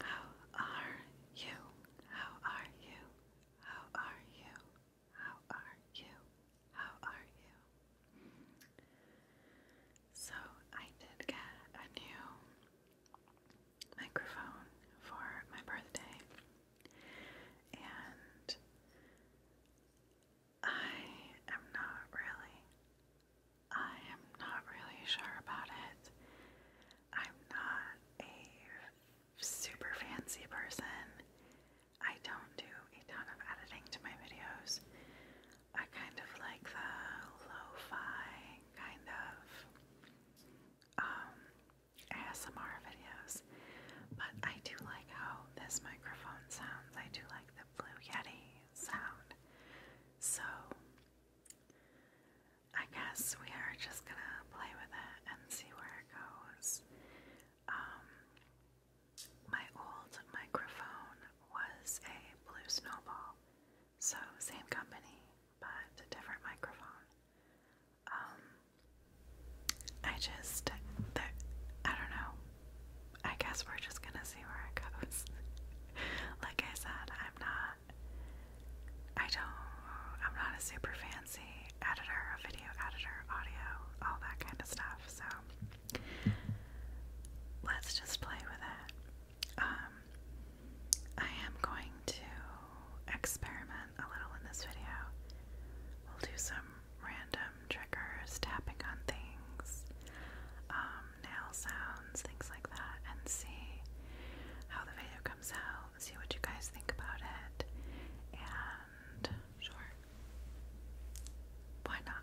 Hello. How are you? How are you? How are you? How are you? How are you? So, I did get a new microphone for my birthday, and I am not really. I am not really sure about it. I'm not a super fancy person. I don't do a ton of editing to my videos. I kind of like the lo-fi kind of um, ASMR videos. But I do like how this microphone sounds. I do like the Blue Yeti sound. So, I guess we are just gonna play with it and see where it goes. Um, my old microphone was a Blue Snowball, so same company but a different microphone. Um, I just, I don't know. I guess we're just gonna see where it goes. like I said, I'm not I don't I'm not a super fancy editor, a video editor, audio, all that kind of stuff, so let's just play with it. Um, I am going to experiment a little in this video. We'll do some random triggers, tapping on things, um, nail sounds, things like that, and see how the video comes out, see what you guys think about it, and sure, why not?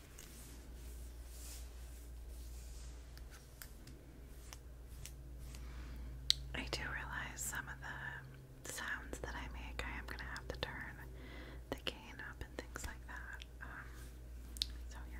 I do realize some of the sounds that I make, I am going to have to turn the cane up and things like that. Um, so, yeah.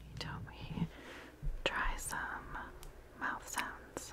You told me try some mouth sounds.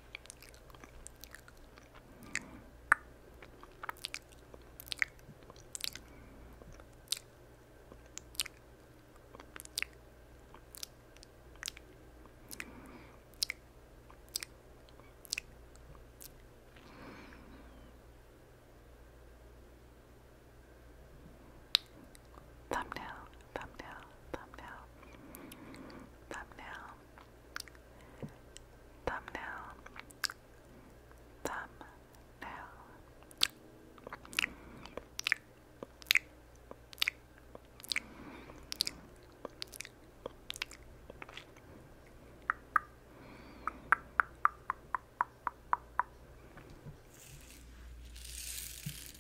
Thumbnail thumbnail, thumbnail, thumbnail, thumbnail, thumbnail.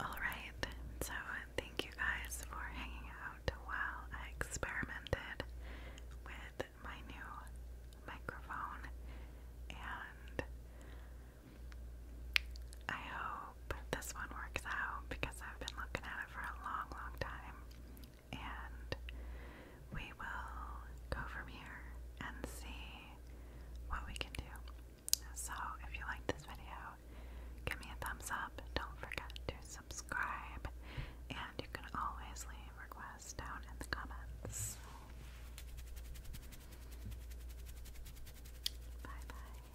All right, so thank you guys for hanging out while I experimented with my new microphone, and I hope this one works out because I've been looking at it for a long, long time and we will go from here and see what we can do. So, if you like this video, give me a thumbs up. Don't forget to subscribe, and you can always leave requests down in the comments. Bye bye.